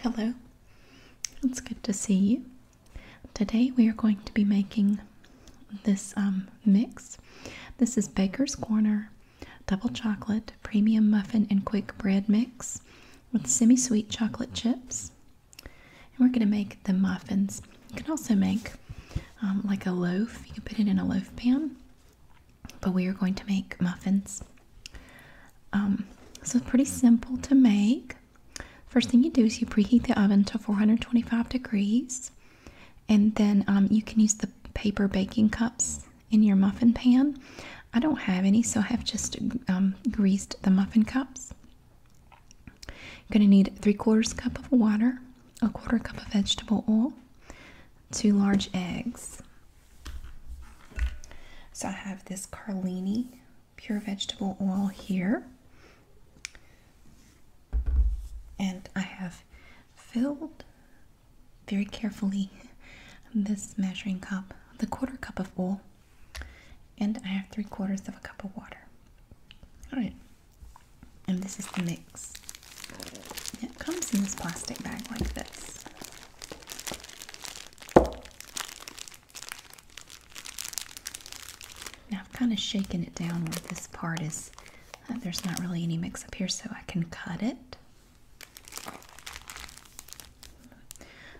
Hello, it's good to see you. Today we are going to be making this um, mix. This is Baker's Corner Double Chocolate Premium Muffin and Quick Bread Mix with semi sweet chocolate chips. And we're going to make the muffins. You can also make um, like a loaf, you can put it in a loaf pan, but we are going to make muffins. Um, so pretty simple to make. First thing you do is you preheat the oven to 425 degrees, and then um, you can use the paper baking cups in your muffin pan. I don't have any, so I have just um, greased the muffin cups. You're going to need three quarters cup of water, a quarter cup of vegetable oil, two large eggs. So I have this Carlini pure vegetable oil here. And I have filled very carefully this measuring cup, the quarter cup of oil. And I have three quarters of a cup of water. All right. And this is the mix. It comes in this plastic bag like this. Now I've kind of shaken it down where this part is, uh, there's not really any mix up here, so I can cut it.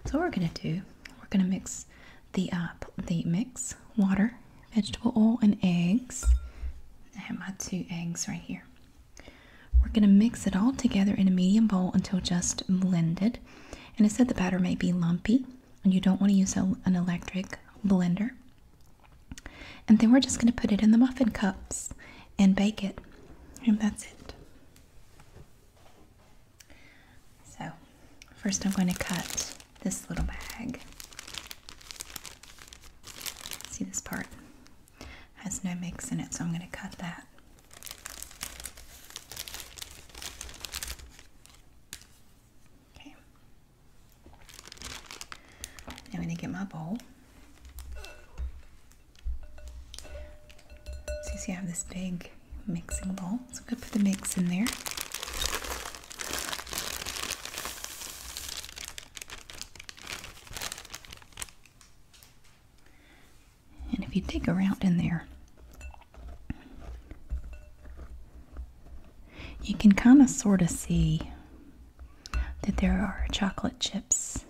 So what we're gonna do, we're gonna mix the uh, the mix water, vegetable oil, and eggs. I have my two eggs right here. We're going to mix it all together in a medium bowl until just blended. And it said the batter may be lumpy and you don't want to use an electric blender. And then we're just going to put it in the muffin cups and bake it. And that's it. So, first I'm going to cut this little bag. See this part? has no mix in it, so I'm going to cut that. Okay. I'm going to get my bowl. So you see I have this big mixing bowl. So I'm going to put the mix in there. And if you dig around in there, you can kind of sort of see that there are chocolate chips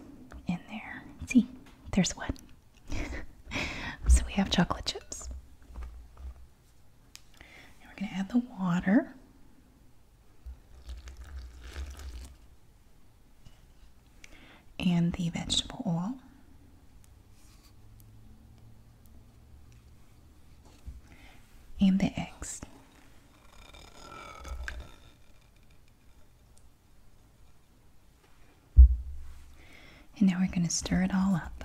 in there. See, there's one. so we have chocolate chips. we're going to add the water and the vegetable oil. And the eggs. And now we're going to stir it all up.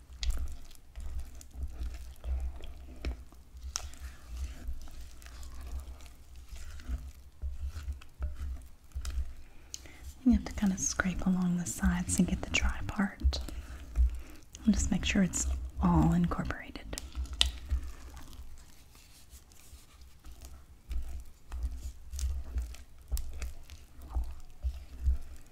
You have to kind of scrape along the sides to get the dry part. And just make sure it's all incorporated.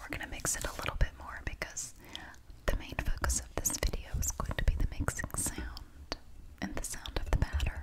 We're gonna mix it a little bit more because the main focus of this video is going to be the mixing sound and the sound of the batter.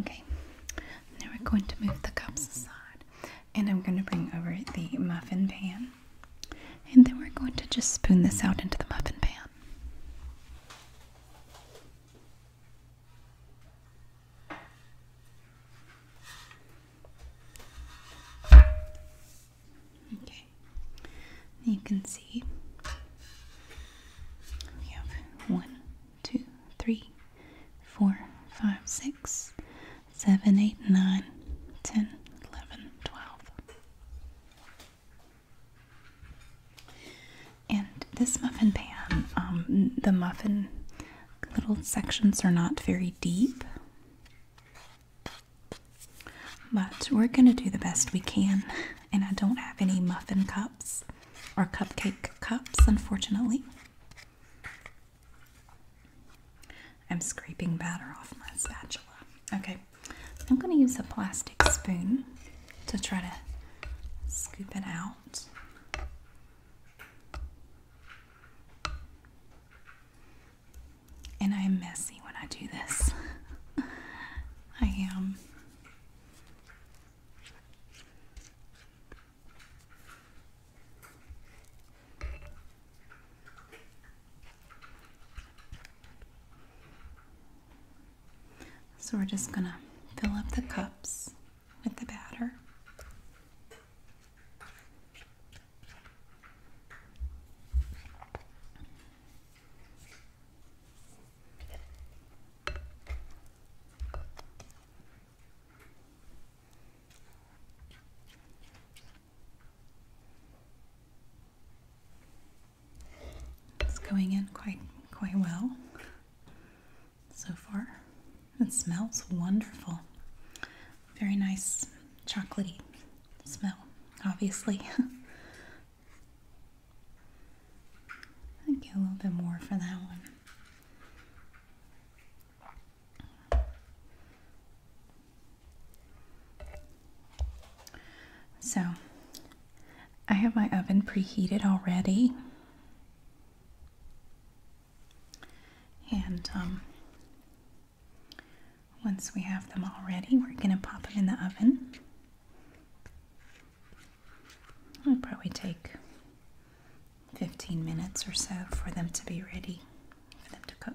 Okay, now we're going to move the cups aside and I'm going to bring over the muffin pan and then we're going to just spoon this out into the muffin pan. Okay, you can see we have one, two, three, four, five, six, seven, eight, nine, ten, eleven, twelve. And this muffin pan, um, the muffin little sections are not very deep. But we're going to do the best we can and I don't have any muffin cups or cupcake cups, unfortunately. I'm scraping batter off my spatula. Okay, I'm going to use a plastic spoon to try to scoop it out. And I am messy when I do this. I am. So we're just going to fill up the cups with the batter. It's going in quite quite well so far. It smells wonderful. Very nice chocolatey smell, obviously. I'd get a little bit more for that one. So, I have my oven preheated already. And um, once we have them all ready, we're going to pop them in the oven. It'll probably take 15 minutes or so for them to be ready, for them to cook.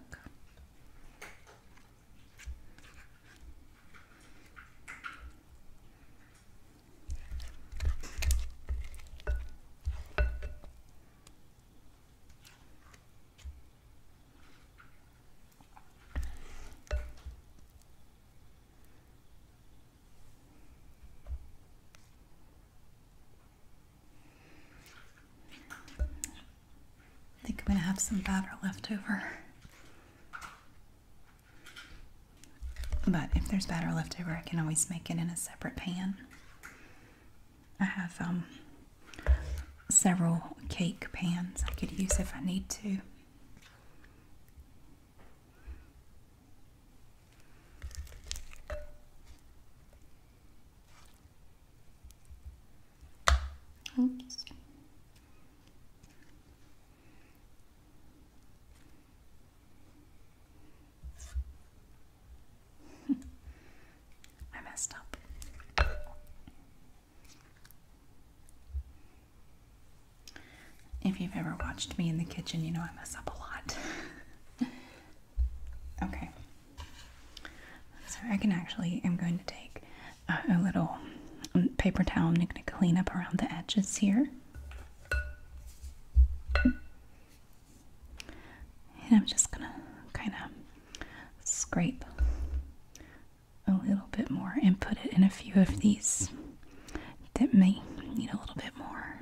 I think I'm going to have some batter left over. But if there's batter left over, I can always make it in a separate pan. I have um, several cake pans I could use if I need to. I messed up. If you've ever watched me in the kitchen, you know I mess up a lot. okay. So I can actually, I'm going to take a, little paper towel. and I'm going to clean up around the edges here. And I'm just going to kind of scrape a little bit more and put it in a few of these that may need a little bit more.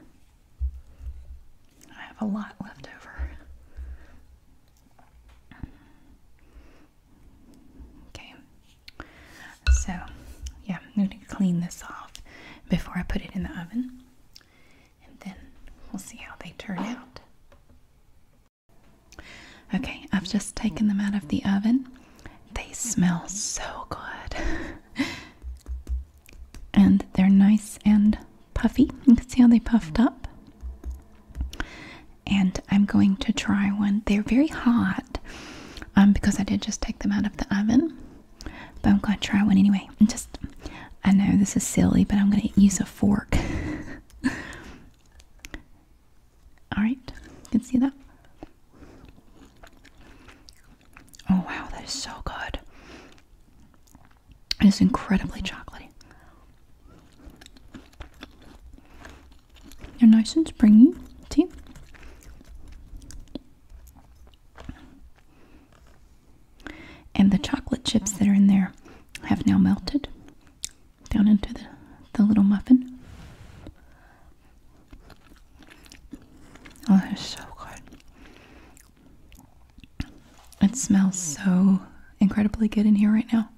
I have a lot left over. Okay, so yeah, I'm going to clean this off before I put it in the oven, and then we'll see how they turn out. Okay, I've just taken them out of the oven. They smell so good. and they're nice and puffy. You can see how they puffed up. And I'm going to try one. They're very hot um, because I did just take them out of the oven. But I'm going to try one anyway. And just, I know this is silly, but I'm going to use a fork. Alright, you can see that. Oh wow, that is so good. It is incredibly chocolatey. They're nice and springy, see? And the chocolate chips that are in there have now melted down into the, little muffin. Oh, it's so good. It smells so incredibly good in here right now.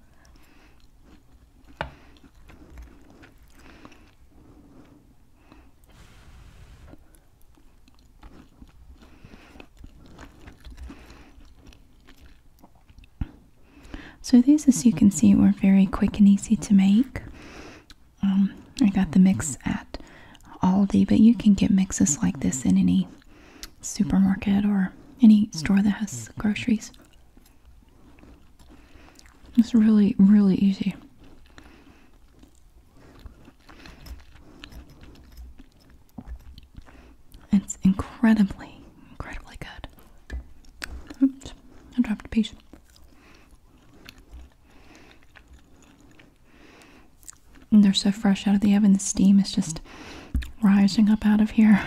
So these, as you can mm-hmm. see, were very quick and easy to make. Um, I got the mix at Aldi, but you can get mixes like this in any supermarket or any store that has mm-hmm. groceries. It's really, really easy. It's incredibly, incredibly good. I dropped a piece. they're so fresh out of the oven, the steam is just rising up out of here.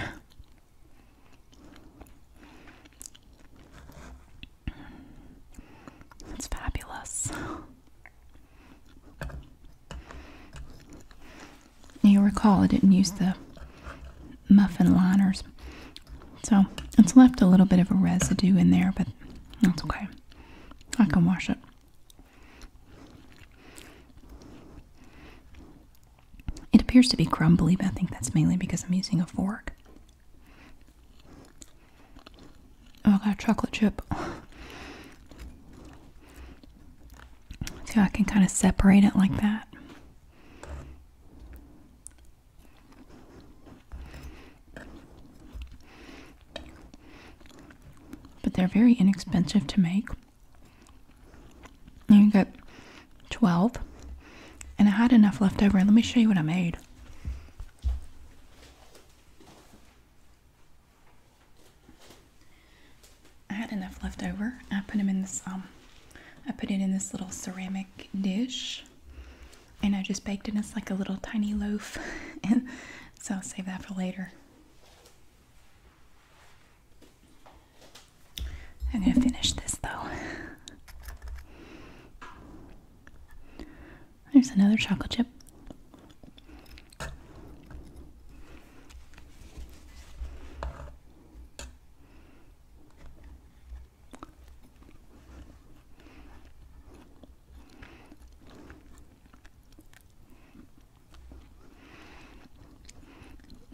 It's fabulous. Now you recall I didn't use the muffin liners, so it's left a little bit of a residue in there, but that's okay. I can wash it. It appears to be crumbly, but I think that's mainly because I'm using a fork. Oh god, chocolate chip. See, I can kind of separate it like that. But they're very inexpensive to make. You get 12. And I had enough left over. Let me show you what I made. I had enough left over. I put them in this um I put it in this little ceramic dish and I just baked it as like a little tiny loaf so I'll save that for later. I'm gonna finish this though. There's another chocolate chip.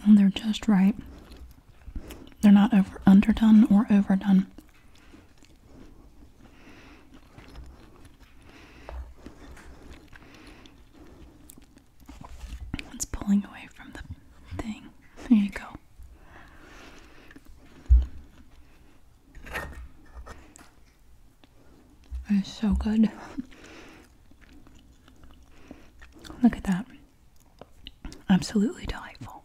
And they're just right. They're not over underdone or overdone. It's pulling away from the thing. There you go. That is so good. Look at that. Absolutely delightful.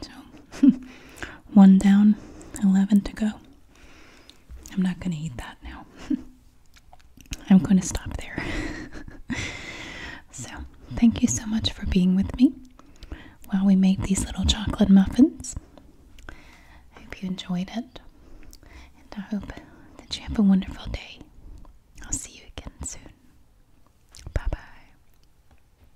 So, one down, 11 to go. I'm not going to eat that now. I'm going to stop there. so, thank you so much for being with me while we made these little chocolate muffins. I hope you enjoyed it, and I hope that you have a wonderful day. I'll see you again soon. Bye bye.